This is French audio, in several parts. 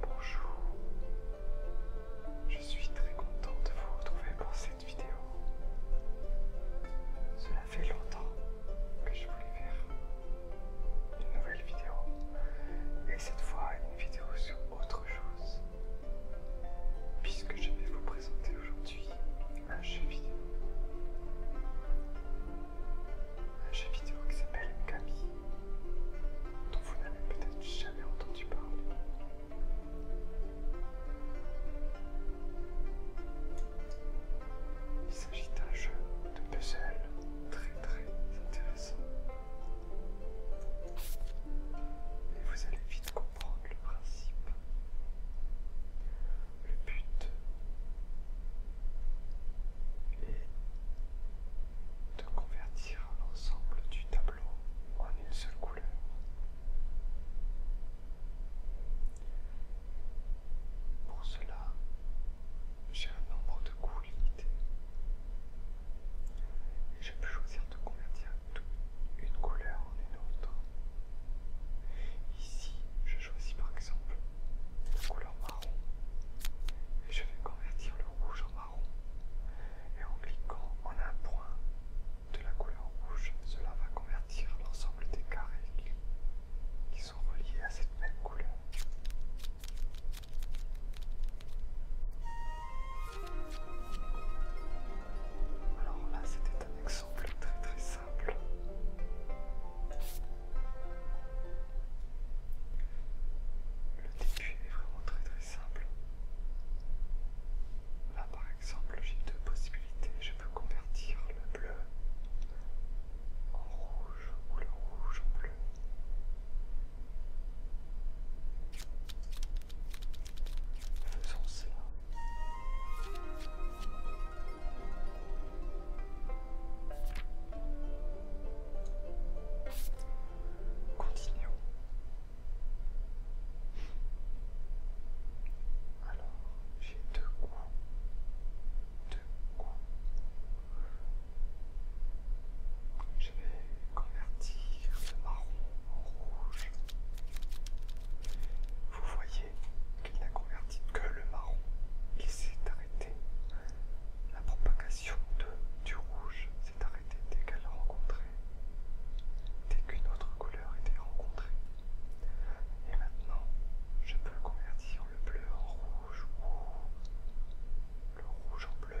Bonjour, je suis très content de vous retrouver pour cette vidéo. Cela fait longtemps que je voulais faire une nouvelle vidéo et cette fois une vidéo sur autre chose. Puisque je vais vous présenter aujourd'hui un jeu vidéo. Un jeu vidéo qui s'appelle Camille, dont vous n'avez peut-être jamais entendu parler. Il s'agit d'un jeu de puzzle très très intéressant et vous allez vite comprendre le principe. Le but est de convertir l'ensemble du tableau en une seule couleur. Pour cela, j'ai un nombre de goûts limité. Je peux choisir de convertir toute une couleur en une autre. Ici, je choisis par exemple la couleur marron et je vais convertir le rouge en marron. Et en cliquant en un point de la couleur rouge, cela va convertir l'ensemble des carrés qui sont reliés à cette même couleur. Alors là, c'était un exemple très très simple. Le début est vraiment très très simple. Là par exemple, j'ai deux possibilités. Je peux convertir le bleu en rouge ou le rouge en bleu. Continuons. Alors, j'ai deux coins. Deux coins. Je vais convertir le marron en rouge. Vous voyez qu'il n'a converti que le marron. Il s'est arrêté. La propagation du rouge s'est arrêtée dès qu'elle rencontré dès qu'une autre couleur était rencontrée. Et maintenant, je peux convertir le bleu en rouge ou le rouge en bleu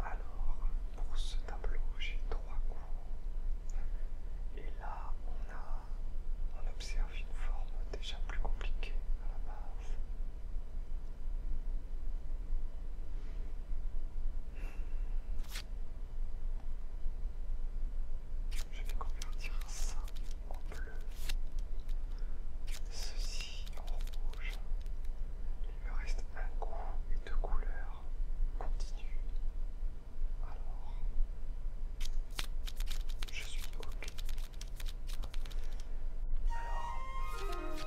Alors, pour ce tableau, j'ai trois cours. Et là, on, a, on observe une forme déjà plus compliquée à la base. Je vais convertir ça en bleu. Ceci en rouge. Il me reste un coup et deux couleurs. Continue. Alors, je suis OK. Alors,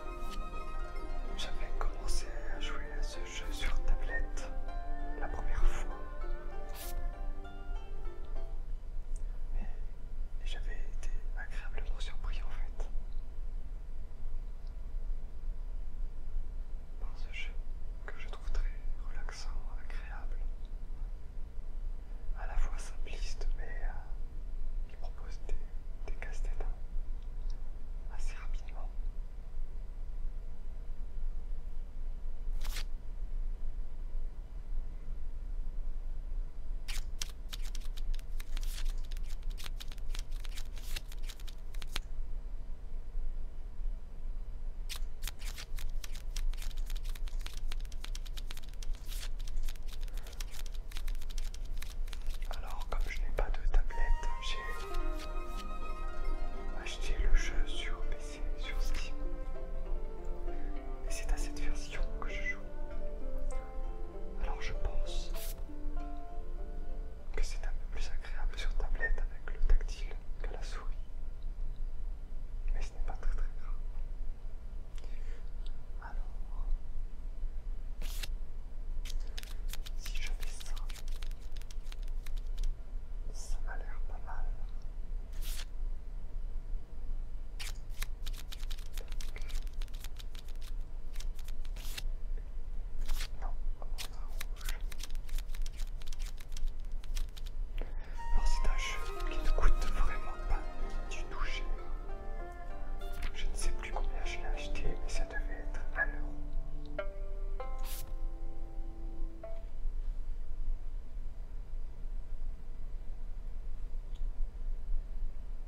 j'avais commencé à jouer à ce jeu sur tablette la première fois et j'avais été agréablement surpris en fait par ce jeu que je trouve très relaxant, agréable, à la fois simpliste mais euh, qui propose des, des casse-têtes hein, assez rapidement. Alors, comme je n'ai pas de tablette, j'ai acheté le jeu sur PC, sur Steam. Et c'est à cette version que je joue. Alors je pense que c'est un peu plus agréable sur tablette avec le tactile que la souris. Mais ce n'est pas très très grave. Alors, si je fais ça, ça m'a l'air pas mal. Non, Alors c'est un jeu qui ne coûte vraiment pas du tout cher. Je ne sais plus combien je l'ai acheté, mais ça devait être un euro.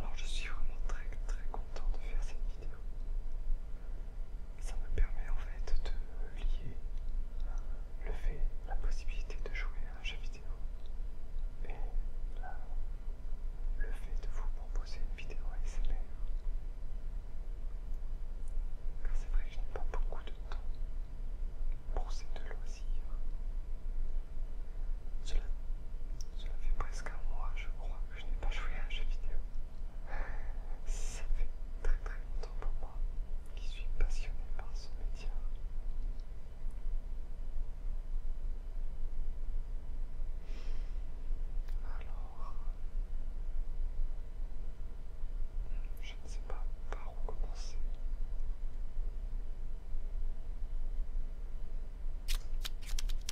Alors je suis vraiment très très content de faire cette vidéo ça me permet en fait de lier le fait, la possibilité de jouer à un jeu vidéo et le fait de vous proposer une vidéo ASMR. Car c'est vrai que je n'ai pas beaucoup de temps pour ces deux loisirs. Cela, cela fait presque un mois, je crois, que je n'ai pas joué à un jeu vidéo. Ça fait très très longtemps pour moi qui suis passionné par ce métier. Alors, je ne sais pas par où commencer.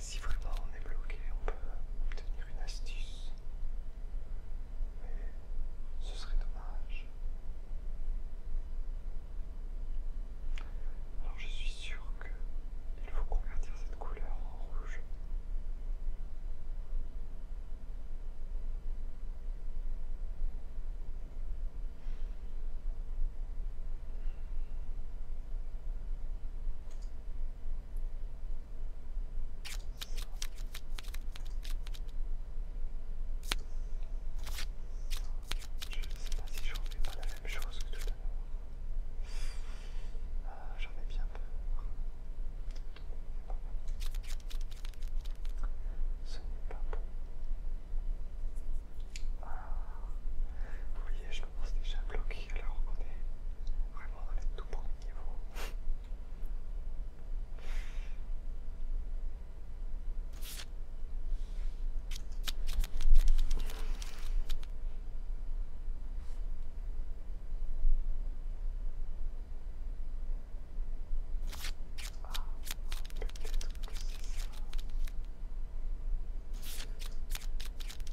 Si vraiment on est bloqué, on peut obtenir une astuce. Mais ce serait dommage. Alors je suis sûr qu'il faut convertir cette couleur en rouge. Je ne sais pas si je refais pas la même chose que tout à l'heure. Ah, j'en ai bien peur. Ce n'est pas bon. Ah, c'est déjà bloqué, alors qu'on est vraiment dans le tout premier niveau. Ah, peut-être que c'est ça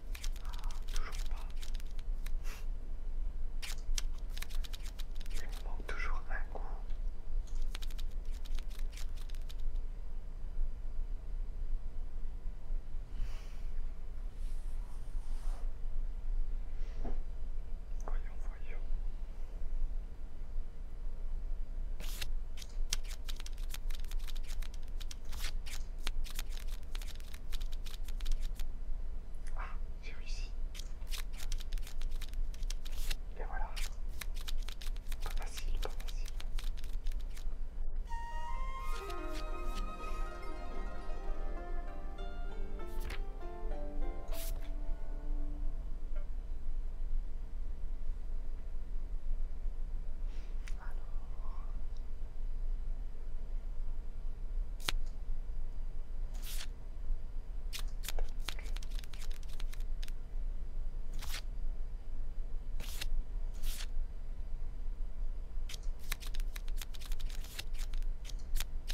toujours pas. Il me manque toujours un coup. Voyons, voyons. Ah, j'ai réussi. Et voilà. Pas facile, pas facile. Alors,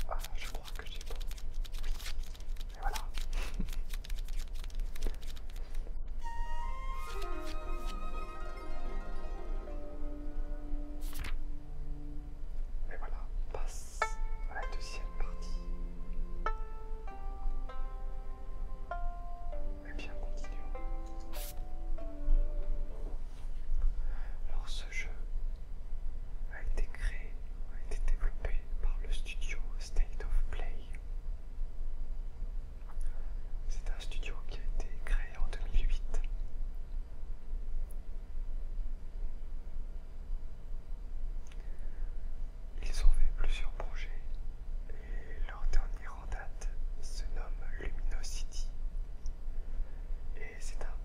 ah, je crois que j'ai bon. Et voilà. Et voilà, on passe à la deuxième partie. Et eh bien, continuons. Alors, ce jeu a été créé, a été développé par le studio State of Play. C'est un studio qui a été créé en 2008. Ils ont fait plusieurs projets et leur dernier en date se nomme City Et c'est un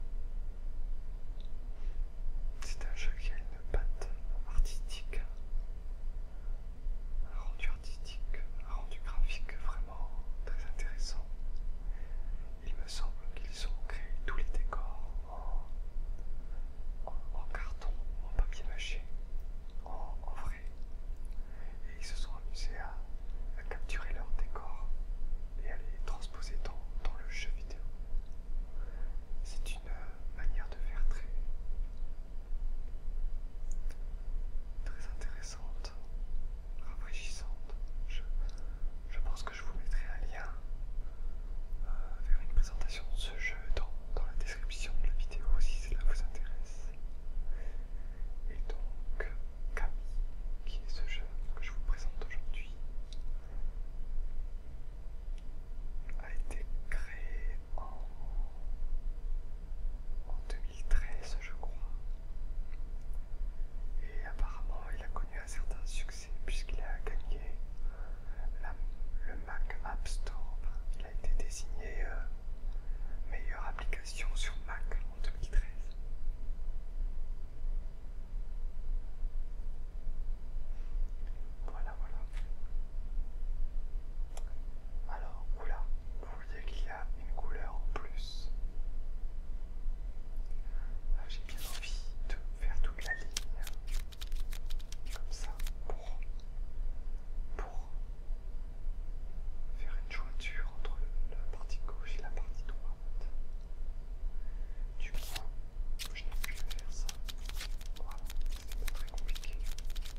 c'est un jeu qui a une patte artistique, hein, a rendu graphique vraiment très intéressant. Il me semble qu'ils ont créé tous les décors en, carton, en papier mâché, en, vrai. Et ils se sont amusés à, capturer leurs décors et à les transposer dans, le jeu vidéo. C'est une euh, manière de faire très, très intéressante je, pense que je vous mettrai un lien euh, vers une présentation de ce jeu dans, dans la description de la vidéo si cela vous intéresse. Et donc, Camille, qui est ce jeu que je vous présente aujourd'hui, a été créé en en 2013 je crois. Et apparemment il a connu un certain succès puisqu'il a gagné le Mac App Store. Il a été désigné euh, meilleure application sur Mac en 2013. Voilà, voilà. Alors, oula, vous voyez qu'il y une couleur en plus. Ah, j'ai bien envie de faire toute la ligne comme ça pour, faire une jointure entre la partie gauche et la partie droite. Du coup, je n'ai plus à faire ça. c'est très compliqué. Je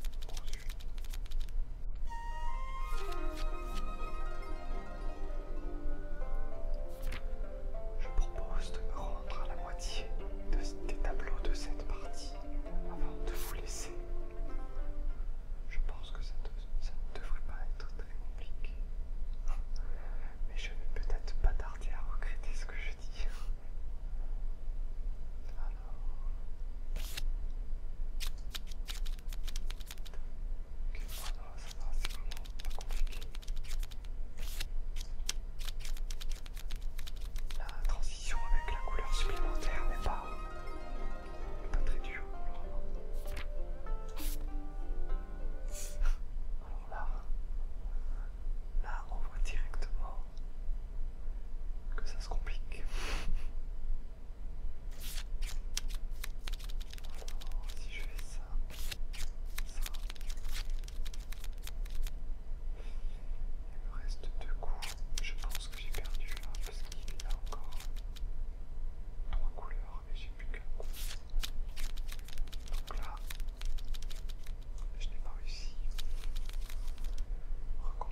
propose de me rendre à la moitié des tableaux de cette partie avant de vous laisser. Je pense que ça, ne devrait pas être très compliqué. Mais je ne vais peut-être pas tarder à regretter ce que je dis. Ah ça va, c'est vraiment pas compliqué. La transition avec la couleur supplémentaire n'est pas, pas très dure. Alors là, là on voit directement que ça se complique. Alors, si je fais ça, ça, il me reste deux coups. Je pense que j'ai perdu là parce qu'il y a encore trois couleurs et j'ai plus qu'un coup. Donc là, je n'ai pas réussi.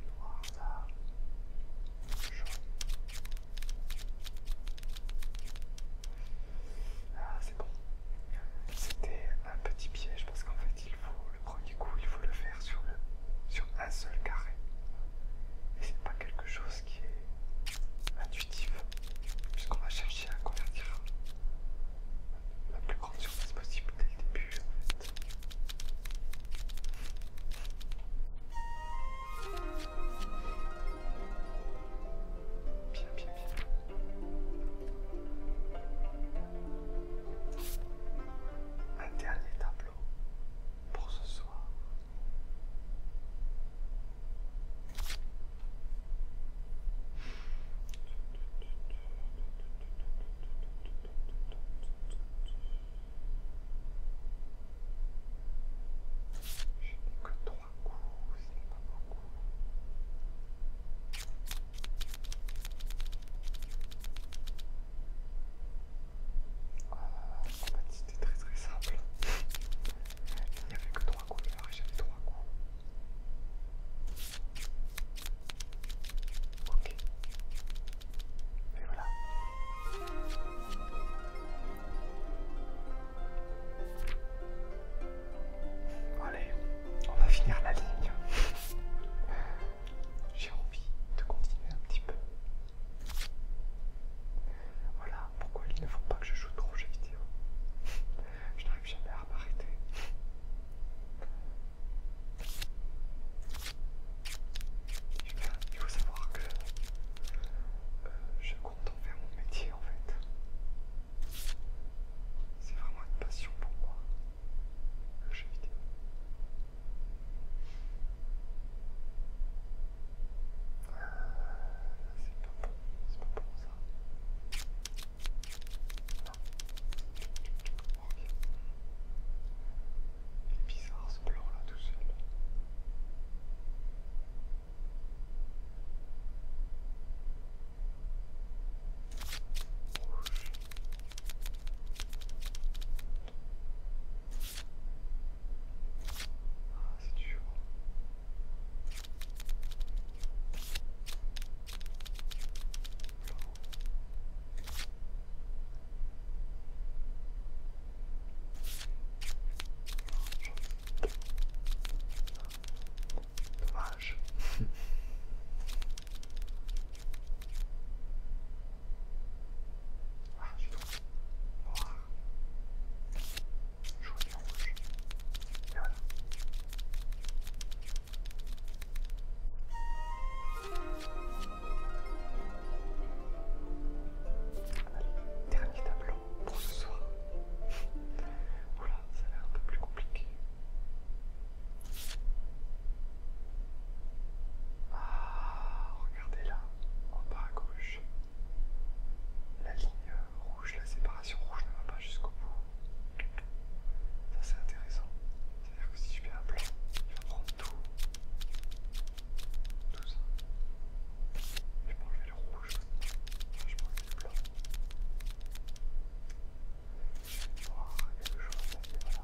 le noir là, le jaune. Ah, c'est bon. C'était un petit piège parce qu'en fait, il faut le premier coup, il faut le faire sur, le, sur un seul carré. Et c'est pas quelque chose qui est intuitif, puisqu'on va chercher à convertir la plus grande surface possible dès le début un dernier tableau pour ce soir. Je n'ai que trois coups, c'est pas beaucoup. c'était très très simple. Il n'y avait que trois et j'avais trois coups. Ok. Et voilà. Allez, on va finir la ligne. J'ai envie de continuer un petit peu. Voilà pourquoi il ne faut pas que je joue trop aux jeux vidéo. Je n'arrive jamais à m'arrêter. Eh il faut savoir que euh, je compte en faire mon métier en fait. C'est vraiment une passion pour moi, le jeu vidéo. Ah, c'est pas bon, c'est pas ça. Non. Il est bizarre ce plan là tout seul. Oh, ah, c'est dur. Dommage. Ah, je Allez, dernier tableau pour ce soir. Oula, ça a l'air un peu plus compliqué. Ah, regardez là, en bas à gauche. La ligne rouge, la séparation rouge ne va pas jusqu'au bout. Ça c'est intéressant. C'est-à-dire que si je fais un blanc, il va prendre tout. Tout ça. Je prends enlever le rouge. Je prends le blanc. Je vais voir quelque chose à ce là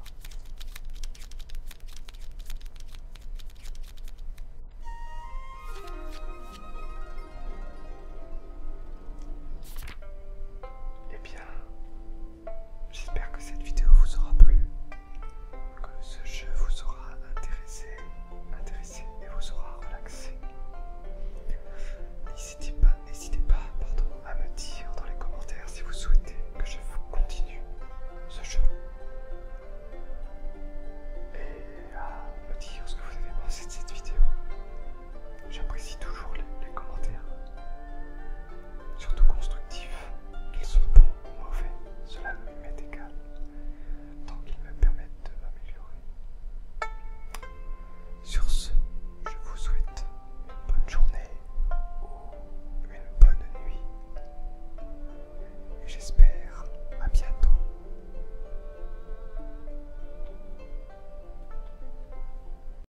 Eh bien, J'espère que cette vidéo vous aura plu, que ce jeu vous aura intéressé, intéressé et vous aura relaxé. N'hésitez pas, n'hésitez pas, pardon, à me dire dans les commentaires si vous souhaitez que je continue ce jeu. Et à me dire ce que vous avez pensé de cette vidéo. J'apprécie toujours les commentaires surtout constructifs. Qu'ils sont bons ou mauvais, cela me m'est égal, tant qu'ils me permettent de m'améliorer. Sur ce, je vous souhaite une bonne journée ou une bonne nuit. Et j'espère à bientôt.